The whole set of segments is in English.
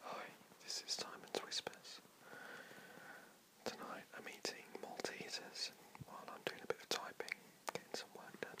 Hi, this is Simon's Whispers. Tonight I'm eating Maltesers while I'm doing a bit of typing, getting some work done.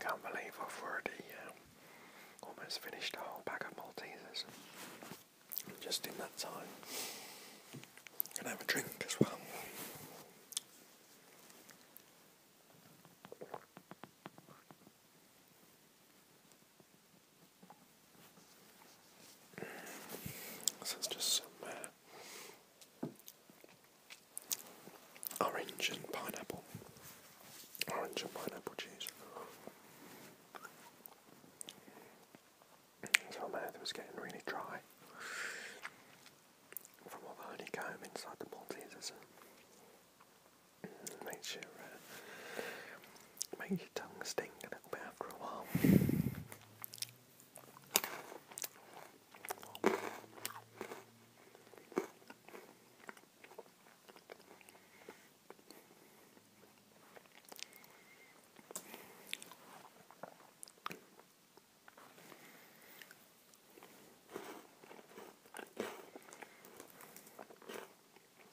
Can't believe I've already um, almost finished a whole bag of Maltesers just in that time. And have a drink as well. This is just some uh, orange and pineapple, orange and pineapple juice. my mouth was getting really dry from all the honeycomb inside the Maltesers. It makes you uh, Make your tongue sting a little bit after a while.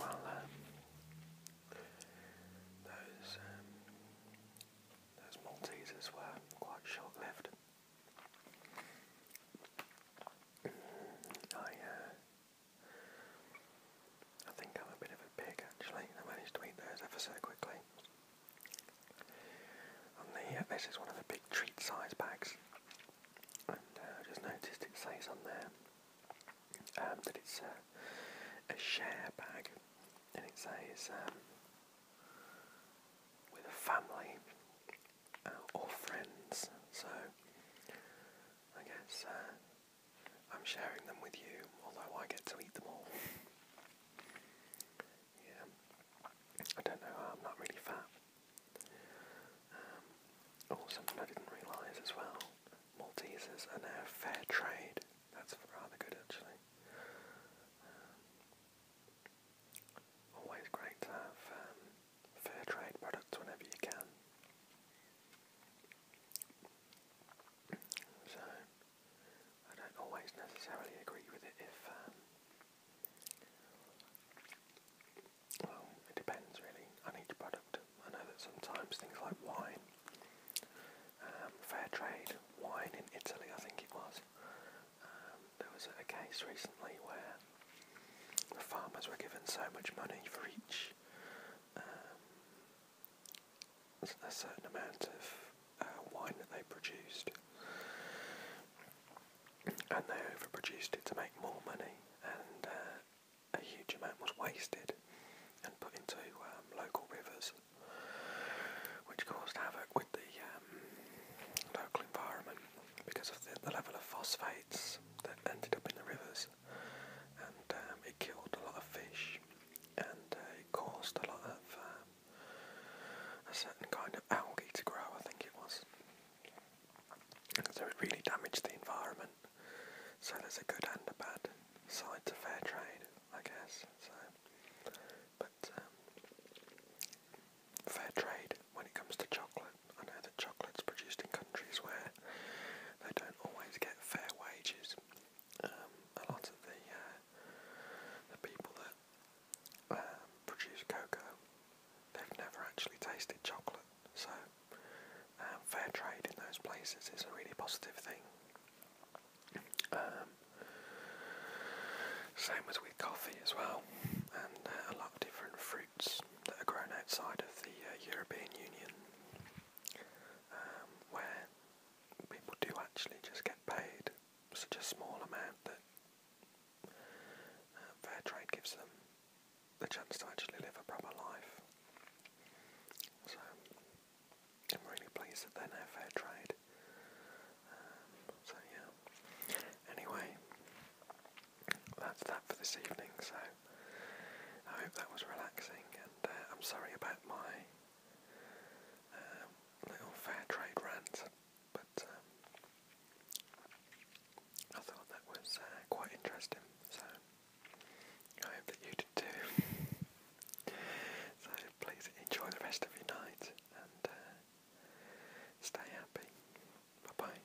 Well, um, those those Maltesers were quite short-lived. I uh, I think I'm a bit of a pig actually. I managed to eat those ever so quickly. And the, uh, this is one of the big treat size bags. And uh, I just noticed it says on there um, that it's a share bag. And it says um, with a family uh, or friends. So I guess uh, I'm sharing them with you, although I get to eat them all. yeah, I don't know, I'm not really fat. Um, oh, I didn't realise as well, Maltesers are now fair trade. That's rather good actually. Um, always great to have um, fair trade products whenever you can. So, I don't always necessarily agree with it if, um, well, it depends really on each product. I know that sometimes things like wine, um, fair trade wine in Italy, I think it was, um, there was a case recently where the farmers were given so much money for each um, a certain amount of uh, wine that they produced, and they overproduced it to make more money, and uh, a huge amount was wasted and put into um, local rivers, which caused havoc with the um, local environment because of the level of phosphates that ended up in the rivers and um, it killed a lot of fish and uh, it caused a lot of um, a certain kind of algae to grow, I think it was. So it really damaged the environment. So there's a good and a bad side to fair trade, I guess. So, but um, fair trade when it comes to chocolate I know that chocolate's produced in countries where they don't always get fair wages. Um, a lot of the uh, the people that um, produce cocoa, they've never actually tasted chocolate, so um, fair trade in those places is a really positive thing. Um, same as with coffee as well, and uh, a lot of different fruits that are grown outside of the uh, European Union, um, where people do actually just get paid such a small amount that uh, fair trade gives them the chance to actually live a proper life. So I'm really pleased that they're now fair um, so yeah. Anyway, that's that for this evening. So I hope that was relaxing, and uh, I'm sorry about my um, little fair trade rant, but um, I thought that was uh, quite interesting. So I hope that you did too. so please enjoy the rest of your night and uh, stay happy. Bye bye.